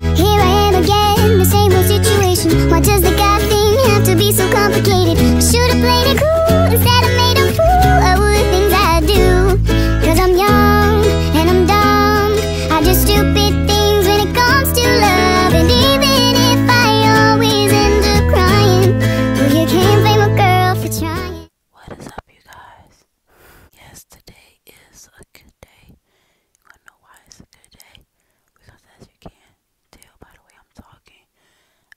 Here I am again, the same old situation Why does the God thing have to be so complicated? should've played it cool instead of made a fool of the things I do Cause I'm young and I'm dumb I do stupid things when it comes to love And even if I always end up crying you can't blame a girl for trying What is up, you guys? Yes, today is a good day you wanna know why it's a good day? Because as you can tell by the way I'm talking,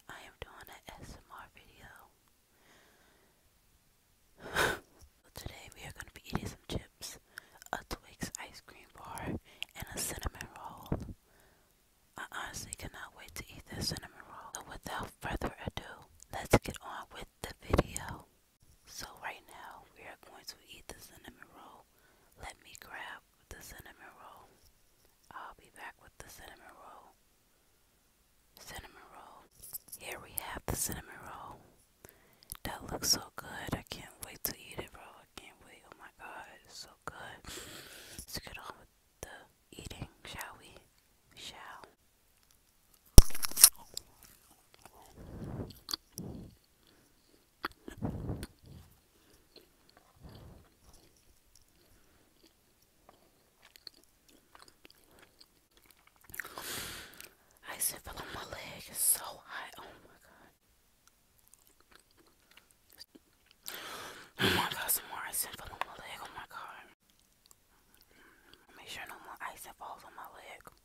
I am doing an SMR video. today we are gonna be eating some chips, a Twix ice cream bar, and a cinnamon roll. I honestly cannot wait to eat this cinnamon roll. So without further ado, let's get on with the video. So right now we are going to eat the cinnamon roll. Let me grab the cinnamon roll. I'll be back with the cinnamon roll. Cinnamon roll. Here we have the cinnamon roll. That looks so good. I can't wait to eat it, bro. I can't wait. Oh my god, it's so good. Let's get on with the eating, shall we? Shall. I said, feel like my leg is so hot. Oh my god. Oh my god, some more ice and fell on my leg. Oh my god. Make sure no more ice falls on my leg.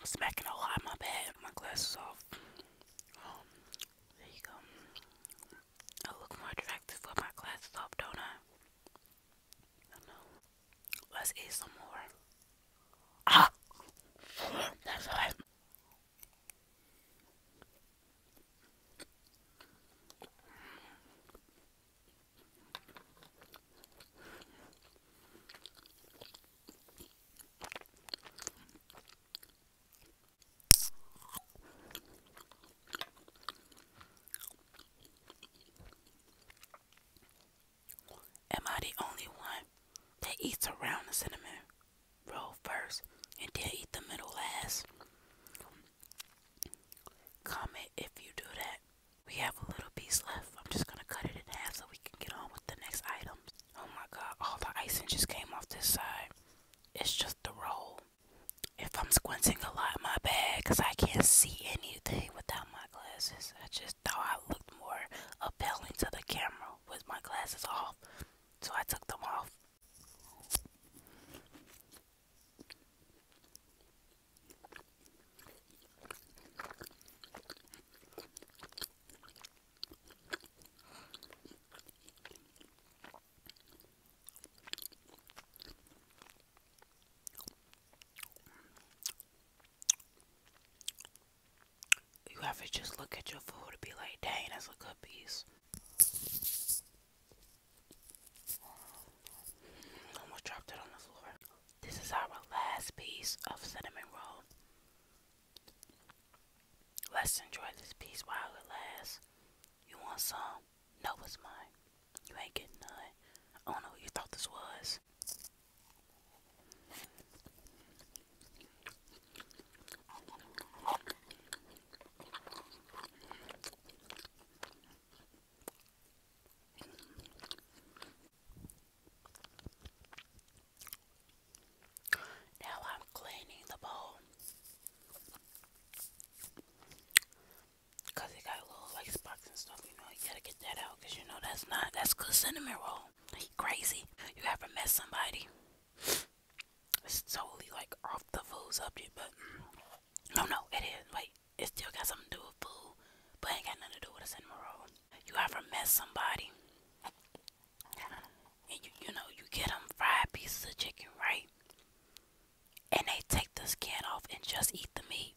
I'm smacking a lot in my bed. My glasses off. there you go. I look more attractive with my glasses off, don't I? Let's eat some more. Ah! That's right. Am I the only one that eats around the cinnamon roll first and then eat the middle last? Comment if you do that. We have a little piece left. I'm just gonna cut it in half so we can get on with the next items. Oh my god, all the icing just came off this side. It's just the roll. If I'm squinting a lot, my bad, because I can't see anything without my glasses. I just thought I looked more appealing to the camera with my glasses off, so I took them off. You have to just look at your food and be like, dang, that's a good piece. Almost dropped it on the floor. This is our last piece of cinnamon roll. Let's enjoy this piece while it lasts. You want some? No, it's mine. You ain't getting none. I don't know who you thought this was. Now I'm cleaning the bowl it got little like spots and stuff. You know, you gotta get that out because you know that's not that's good cinnamon roll. crazy. You ever met somebody? It's totally like off the food subject, but no, no, it is. Wait, it still got something to do with food, but it ain't got nothing to do with a cinnamon roll. You ever met somebody, and you, you know, you get them fried pieces of chicken, right? And they take the skin off and just eat the meat.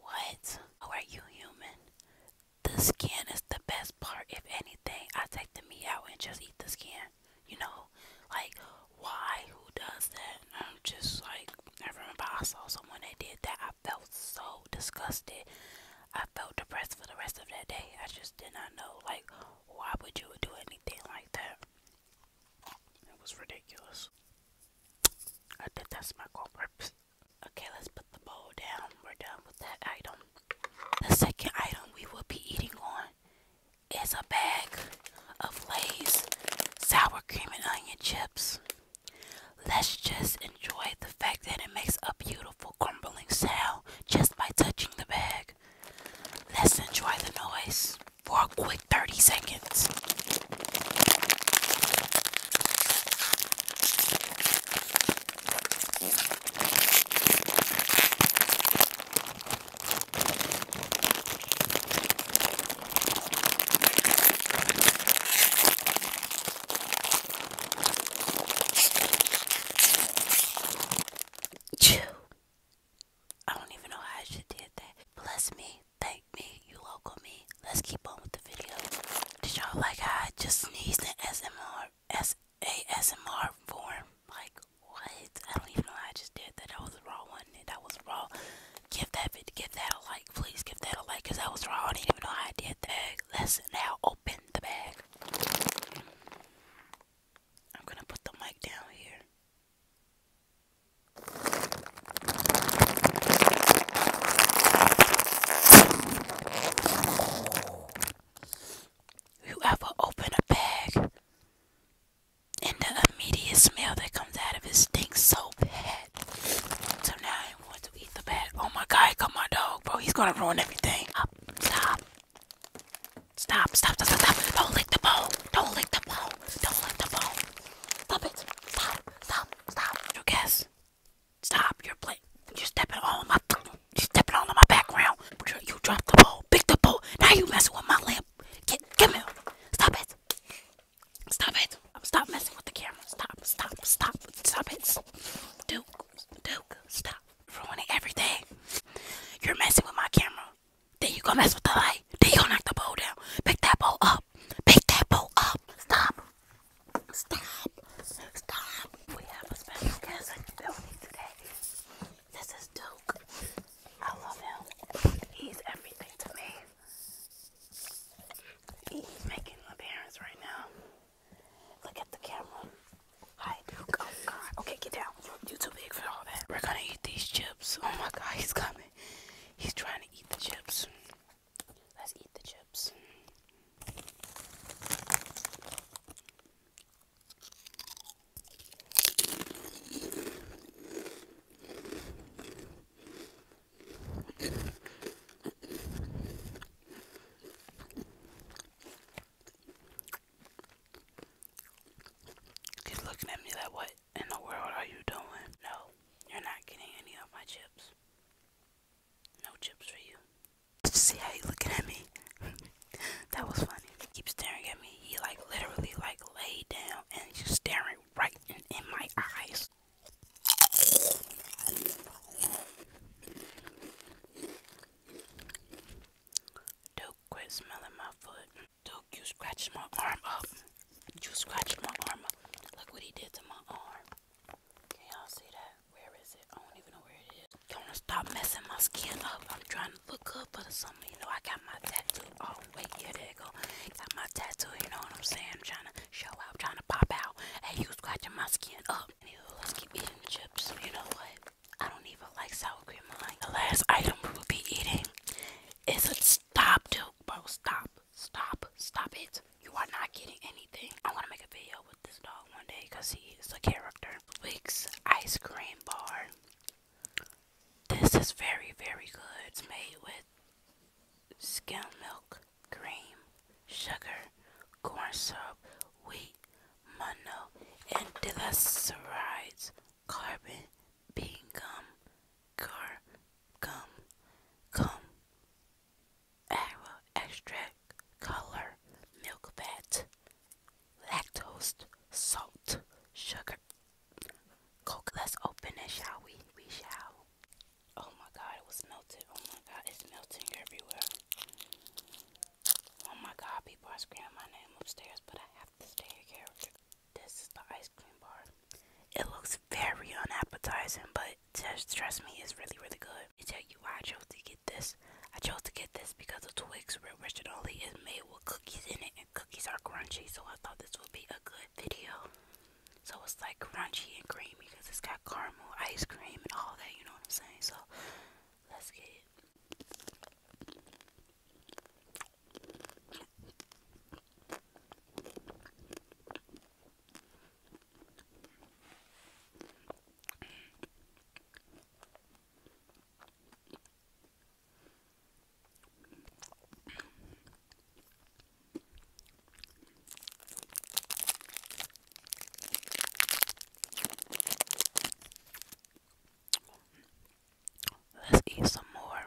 What? are you human? The skin is the best part. If anything, I take the meat out and just eat the skin. You know, like why? Who does that? I'm just like, I remember I saw someone that did that. I felt so disgusted. I felt depressed for the rest of that day. I just did not know, like, why would you do anything like that? It was ridiculous. I think that's my culprit. Okay, let's put the bowl down. We're done with that item. The second item we will be eating on is a bag of Lay's sour cream and onion chips. Let's just enjoy the fact that it makes a beautiful crumbling sound just by touching the bag. Let's enjoy the noise for a quick 30 seconds. Chew. I don't even know how I should did that. Bless me, thank me, you local me. Let's keep on with the video. Did y'all like I just sneezed in SMR, form? Like what? I don't even know how I just did that. That was a raw one. That was raw. Give that give that a like, please give that a like, cause I was wrong. I didn't even know how I did that. let now open the bag. I'm gonna put the mic down here. You ever open a bag and the immediate smell that comes out of it stinks so bad. So now I want to eat the bad. Oh my god, here come my dog, bro. He's gonna ruin everything. Up, stop. Stop, stop, stop, stop, stop. Don't lick the bowl. Don't lick the bowl. Don't lick the bowl. Stop it. Stop, stop, stop. You guess. Stop. You're playing. You're stepping on my. You're stepping on my background. You dropped the bowl. Pick the bowl. Now you messing with my lamp. Get, get, come here. Stop it. Stop it. Stop messing with the camera. Stop, stop, stop, stop it. Duke, Duke, stop. Ruining everything. You're messing with my camera. Then you gonna mess with the light. Then you gonna knock the bowl down. Pick that bowl up. Pick that bowl up. Stop. Stop. Stop. We have a special guest in the building today. This is Duke. I love him. He's everything to me. He's making my parents right now. Look at the camera. Hi, Duke. Oh, God. Okay, get down. you're too big for all that. We're gonna eat these chips. Oh, my God. He's coming. He's trying to eat the chips. Let's eat the chips. He's looking at me like, what in the world are you doing? No, you're not getting any of my chips. No chips for you. see how you looking at me? that was funny. He keeps staring at me. He like literally like laid down and he's just staring right in, my eyes. Duke, quit smelling my foot. Duke, you scratched my arm up. You scratched my arm up. Look what he did to my arm. Can y'all see that? Where is it? I don't even know where it is. Don't stop messing my skin up. I'm trying to look up for the you know, I got my tattoo. Oh, wait, yeah, there you go. Got my tattoo, you know what I'm saying? I'm trying to show out, trying to pop out. Hey, you scratching my skin up. Anyway, let's keep eating chips. You know what? I don't even like sour cream. Like the last item we will be eating is a stop, dude. Bro, stop, stop, stop it. You are not getting anything. I want to make a video with this dog one day because he is a character. Wix ice cream bar. This is very, very good. It's made with skim milk, cream, sugar, corn syrup, wheat, mono, and delacerides, carbon, bean gum, car, gum, gum, agro extract, color, milk fat, lactose, salt, sugar, coke. Let's open it, shall we? We shall. Oh my god, it was melted. Oh my god, it's melting everywhere. Oh my god, people are screaming my name upstairs, but I have to stay here. This is the ice cream bar. It looks very unappetizing, but just trust me, it's really, really good. I tell you why I chose to get this. I chose to get this because the Twix Richard Only is made with cookies in it, and cookies are crunchy, so I thought this would be a good video. So it's like crunchy and creamy because it's got caramel, ice cream, and all that, you know what I'm saying? So let's get it. Let's eat some more.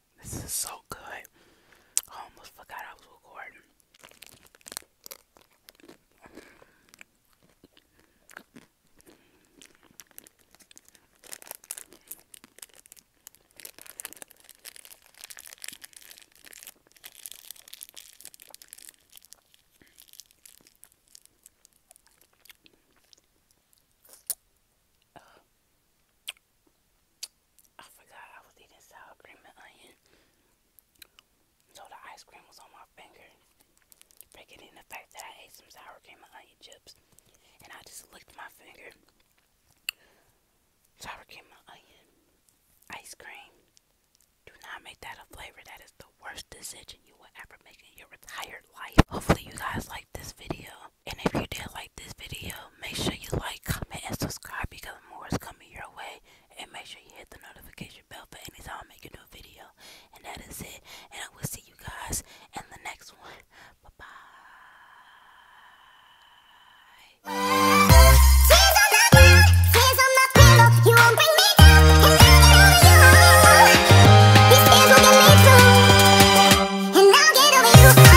This is so good. almost forgot I was recording. I forgot I was eating sour cream and onion. So the ice cream was on my finger. Forgetting the fact that I ate some sour cream and onion chips. And I just licked my finger. Sour cream and onion. Ice cream. Do not make that a flavor. That is the worst decision you will ever make in your entire life. Hopefully you guys like this video. And if you did like this video, make sure you like, comment, and subscribe because more is coming your way. And make sure you hit the notification bell for any time I make a new video. And that is it. And I will see you guys in the next one. Bye bye.